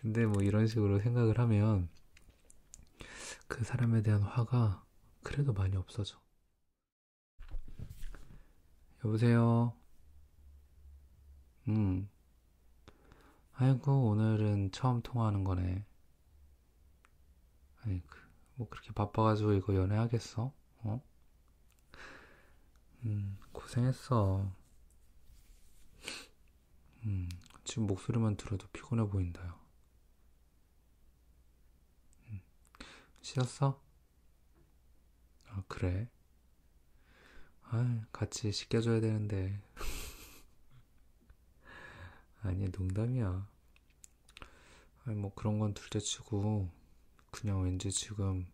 근데 뭐 이런 식으로 생각을 하면 그 사람에 대한 화가 그래도 많이 없어져. 여보세요? 음. 아이고, 오늘은 처음 통화하는 거네. 아니, 그, 뭐 그렇게 바빠가지고 이거 연애하겠어? 어? 음, 고생했어. 음, 지금 목소리만 들어도 피곤해 보인다요. 음, 씻었어? 아, 그래. 아, 같이 씻겨줘야 되는데. 아니, 농담이야. 아니, 뭐 그런 건 둘째 치고, 그냥 왠지 지금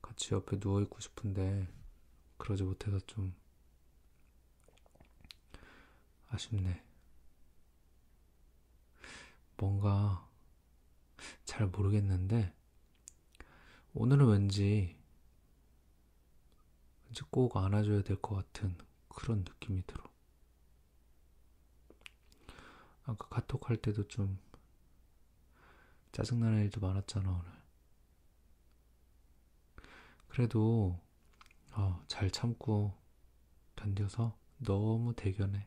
같이 옆에 누워있고 싶은데 그러지 못해서 좀 아쉽네. 뭔가 잘 모르겠는데 오늘은 왠지 왠지 꼭 안아줘야 될 것 같은 그런 느낌이 들어. 아까 카톡 할 때도 좀 짜증나는 일도 많았잖아 오늘. 그래도 어, 잘 참고 견뎌서 너무 대견해.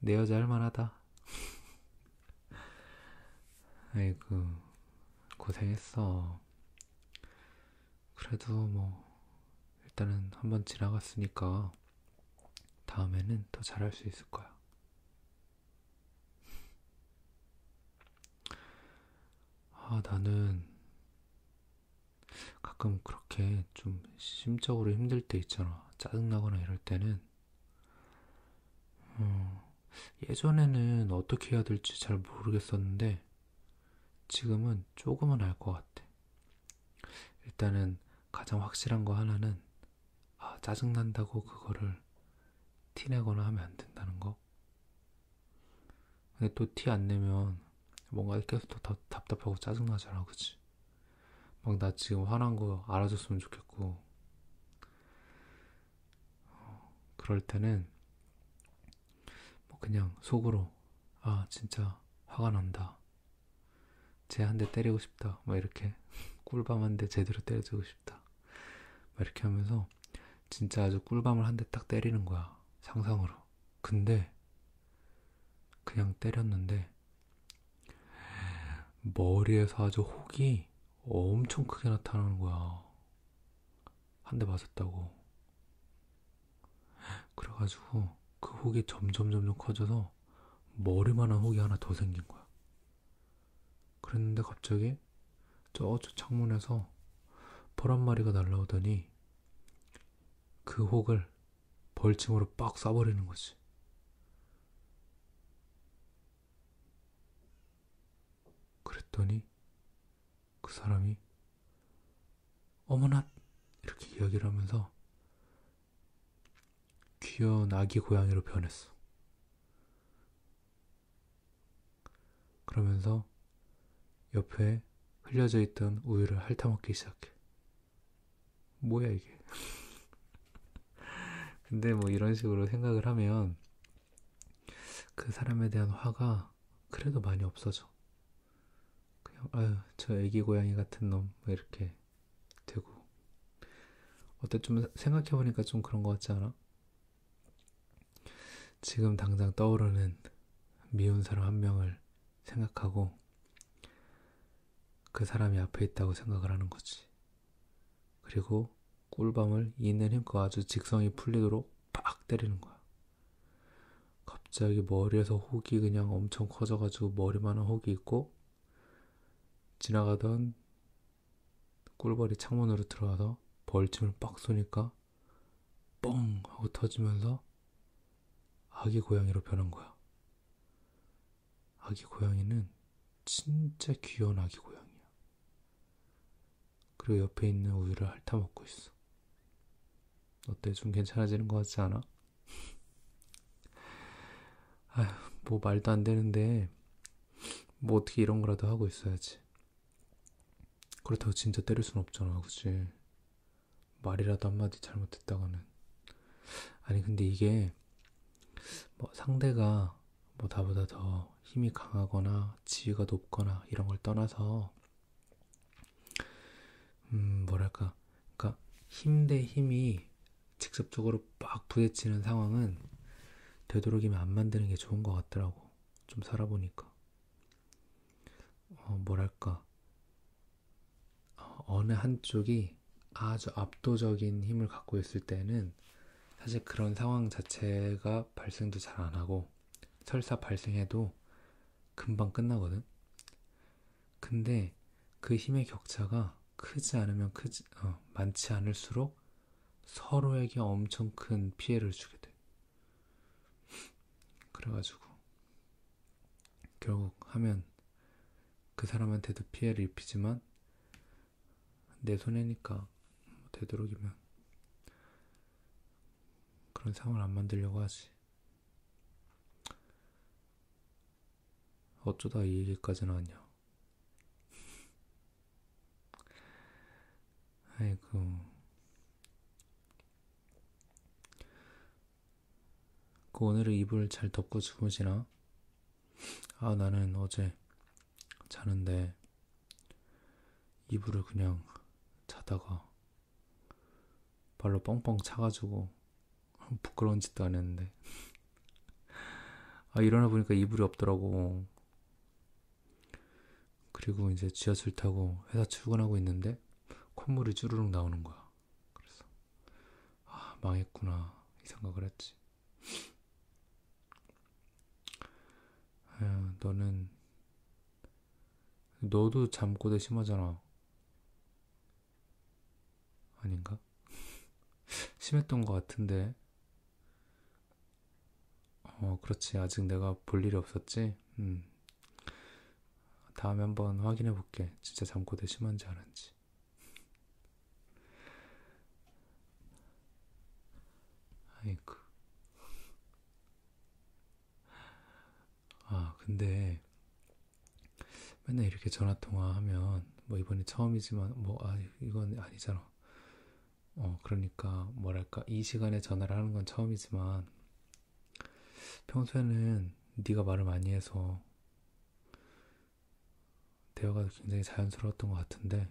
내 여자 할만하다. 아이고, 고생했어. 그래도 뭐, 일단은 한번 지나갔으니까 다음에는 더 잘할 수 있을 거야. 아, 나는 가끔 그렇게 좀 심적으로 힘들 때 있잖아. 짜증나거나 이럴 때는. 어, 예전에는 어떻게 해야 될지 잘 모르겠었는데, 지금은 조금은 알 것 같아. 일단은 가장 확실한 거 하나는 아, 짜증난다고 그거를 티내거나 하면 안 된다는 거. 근데 또 티 안 내면 뭔가 계속 더 답답하고 짜증나잖아, 그치? 막 나 지금 화난 거 알아줬으면 좋겠고. 어, 그럴 때는 뭐 그냥 속으로 아, 진짜 화가 난다. 쟤 한 대 때리고 싶다. 막 이렇게 꿀밤 한 대 제대로 때려주고 싶다. 싶다. 이렇게 하면서 진짜 아주 꿀밤을 한 대 딱 때리는 거야. 상상으로. 근데 그냥 때렸는데 머리에서 아주 혹이 엄청 크게 나타나는 거야. 한 대 맞았다고. 그래가지고 그 혹이 점점 점점 커져서 머리만한 혹이 하나 더 생긴 거야. 그랬는데 갑자기 저쪽 창문에서 벌한 마리가 날라오더니 그 혹을 벌침으로 빡 쏴버리는 거지. 그랬더니 그 사람이 어머나 이렇게 이야기를 하면서 귀여운 아기 고양이로 변했어. 그러면서 옆에 흘려져 있던 우유를 핥아먹기 시작해. 뭐야 이게? 근데 뭐 이런 식으로 생각을 하면 그 사람에 대한 화가 그래도 많이 없어져. 그냥 아유 저 애기 고양이 같은 놈 뭐 이렇게 되고 어때 좀 생각해보니까 좀 그런 것 같지 않아? 지금 당장 떠오르는 미운 사람 한 명을 생각하고 그 사람이 앞에 있다고 생각을 하는 거지. 그리고 꿀밤을 있는 힘껏 아주 직성이 풀리도록 빡 때리는 거야. 갑자기 머리에서 혹이 그냥 엄청 커져가지고 머리만한 혹이 있고 지나가던 꿀벌이 창문으로 들어와서 벌침을 빡 쏘니까 뻥 하고 터지면서 아기 고양이로 변한 거야. 아기 고양이는 진짜 귀여운 아기 고양이야. 그리고 옆에 있는 우유를 핥아먹고 있어. 어때? 좀 괜찮아지는 것 같지 않아? 아휴, 뭐 말도 안 되는데 뭐 어떻게 이런 거라도 하고 있어야지. 그렇다고 진짜 때릴 순 없잖아, 그치? 말이라도 한마디 잘못했다가는. 아니, 근데 이게, 뭐 상대가 뭐 나보다 더 힘이 강하거나 지위가 높거나 이런 걸 떠나서, 음, 뭐랄까. 그니까, 힘 대 힘이 직접적으로 빡 부딪히는 상황은 되도록이면 안 만드는 게 좋은 것 같더라고. 좀 살아보니까. 어, 뭐랄까. 어, 어느 한쪽이 아주 압도적인 힘을 갖고 있을 때는 사실 그런 상황 자체가 발생도 잘 안 하고 설사 발생해도 금방 끝나거든. 근데 그 힘의 격차가 크지 않으면 크지 어, 많지 않을수록 서로에게 엄청 큰 피해를 주게 돼. 그래가지고 결국 하면 그 사람한테도 피해를 입히지만 내 손해니까 되도록이면 그런 상황을 안 만들려고 하지. 어쩌다 이 얘기까지 나왔냐. 아이고. 그 오늘은 이불 잘 덮고 주무시나? 아, 나는 어제 자는데 이불을 그냥 자다가 발로 뻥뻥 차가지고 부끄러운 짓도 안 했는데. 아, 일어나 보니까 이불이 없더라고. 그리고 이제 지하철 타고 회사 출근하고 있는데 콧물이 주르륵 나오는 거야. 그래서 아 망했구나 이 생각을 했지. 아유, 너는 너도 잠꼬대 심하잖아. 아닌가? 심했던 것 같은데 어, 그렇지. 아직 내가 볼 일이 없었지? 음. 다음에 한번 확인해 볼게. 진짜 잠꼬대 심한지 아는지. 아이고. 아, 근데 맨날 이렇게 전화 통화하면 뭐 이번이 처음이지만 뭐 아, 이건 아니잖아. 어, 그러니까 뭐랄까 이 시간에 전화를 하는 건 처음이지만 평소에는 네가 말을 많이 해서 대화가 굉장히 자연스러웠던 것 같은데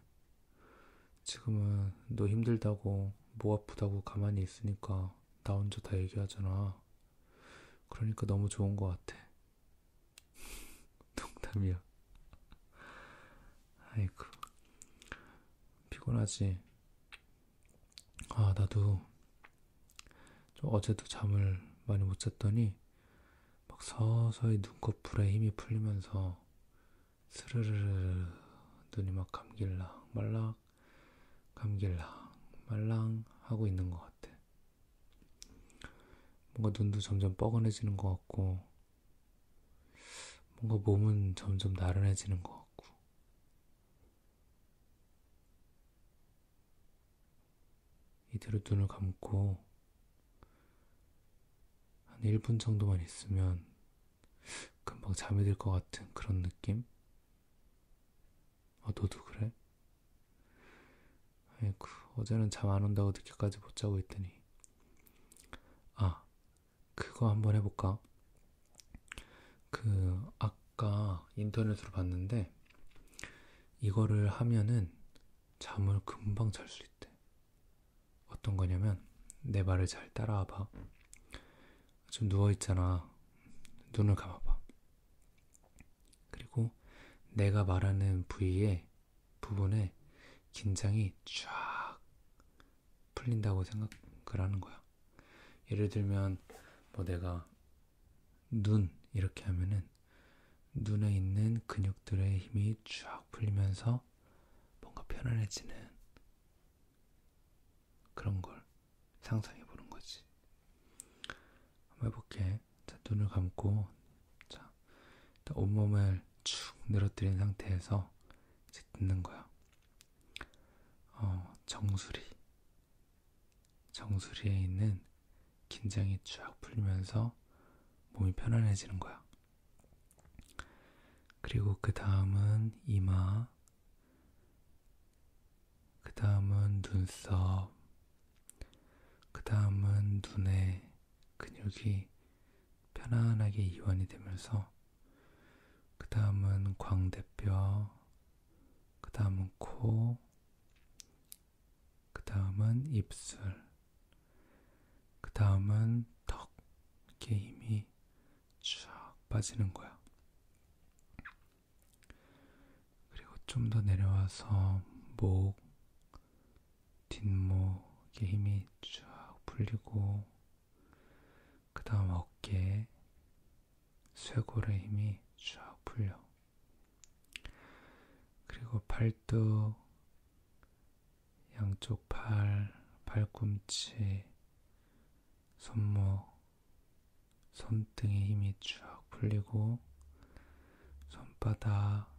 지금은 너 힘들다고 목 아프다고 가만히 있으니까 나 혼자 다 얘기하잖아. 그러니까 너무 좋은 것 같아. 농담이야. 아이고 피곤하지. 아 나도 좀 어제도 잠을 많이 못 잤더니 막 서서히 눈꺼풀에 힘이 풀리면서 스르르르 눈이 막 감길랑 말랑 감길랑 말랑 하고 있는 것 같아. 뭔가 눈도 점점 뻐근해지는 것 같고 뭔가 몸은 점점 나른해지는 것 같고, 이대로 눈을 감고, 한 1분 정도만 있으면 금방 잠이 들 것 같은 그런 느낌? 아, 너도 그래? 아이고, 어제는 잠 안 온다고 늦게까지 못 자고 있더니. 아, 그거 한번 해볼까? 그, 아까 인터넷으로 봤는데, 이거를 하면은 잠을 금방 잘 수 있대. 어떤 거냐면, 내 말을 잘 따라와 봐. 좀 누워있잖아. 눈을 감아봐. 그리고 내가 말하는 부위에 부분에 긴장이 쫙 풀린다고 생각을 하는 거야. 예를 들면 뭐 내가 눈 이렇게 하면은 눈에 있는 근육들의 힘이 쫙 풀리면서 뭔가 편안해지는 그런 걸 상상해 보는 거지. 한번 해볼게. 자, 눈을 감고, 자, 온몸을 축 늘어뜨린 상태에서 이제 듣는 거야. 어, 정수리. 정수리에 있는 긴장이 쫙 풀리면서 몸이 편안해지는 거야. 그리고 그 다음은 이마, 그 다음은 눈썹, 그 다음은 눈에 근육이 편안하게 이완이 되면서 그 다음은 광대뼈, 그 다음은 코, 그 다음은 입술, 그 다음은 턱, 이렇게 힘이 쫙 빠지는 거야. 그리고 좀 더 내려와서 목, 뒷목, 이렇게 힘이 쫙 풀리고, 그 다음 어깨에 쇄골의 힘이 쫙 풀려. 그리고 팔뚝, 양쪽 팔, 팔꿈치, 손목, 손등의 힘이 쫙 풀리고, 손바닥,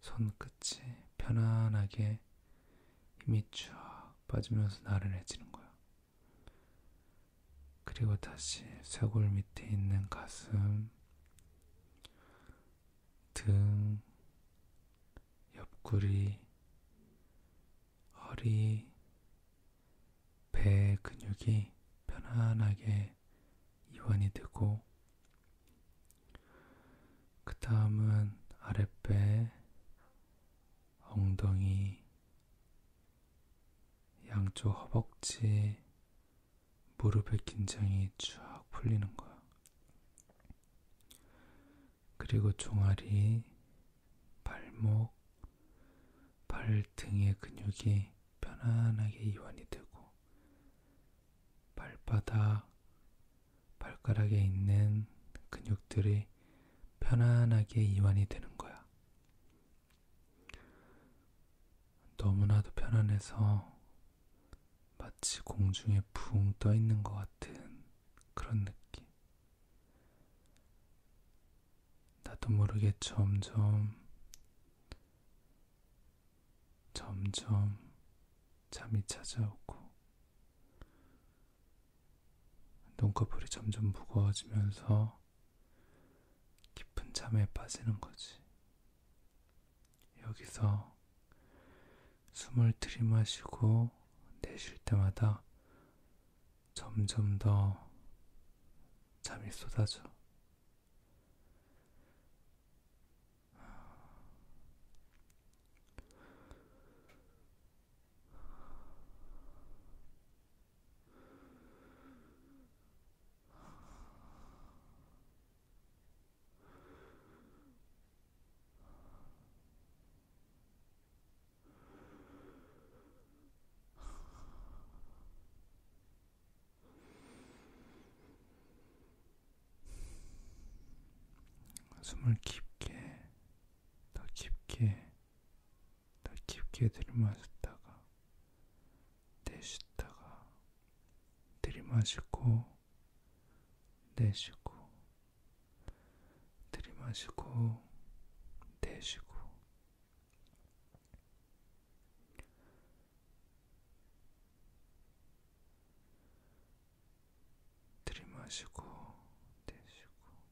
손끝이 편안하게 힘이 쫙 빠지면서 나른해지는 거야. 그리고 다시 쇄골 밑에 있는 가슴, 등, 옆구리, 허리, 배 근육이 편안하게 이완이 되고 그 다음은 아랫배, 엉덩이, 양쪽 허벅지, 무릎의 긴장이 쫙 풀리는 거야. 그리고 종아리, 발목, 발등의 근육이 편안하게 이완이 되고, 발바닥, 발가락에 있는 근육들이 편안하게 이완이 되는 거야. 너무나도 편안해서 마치 공중에 붕 떠 있는 것 같은 그런 느낌. 나도 모르게 점점, 점점 잠이 찾아오고, 눈꺼풀이 점점 무거워지면서 깊은 잠에 빠지는 거지. 여기서 숨을 들이마시고 내쉴 때마다 점점 더 잠이 쏟아져. 숨을 깊게 더 깊게, 더 깊게 들이마셨다가, 내쉬다가, 들이마시고, 내쉬고, 들이마시고, 내쉬고. 들이마시고 내쉬고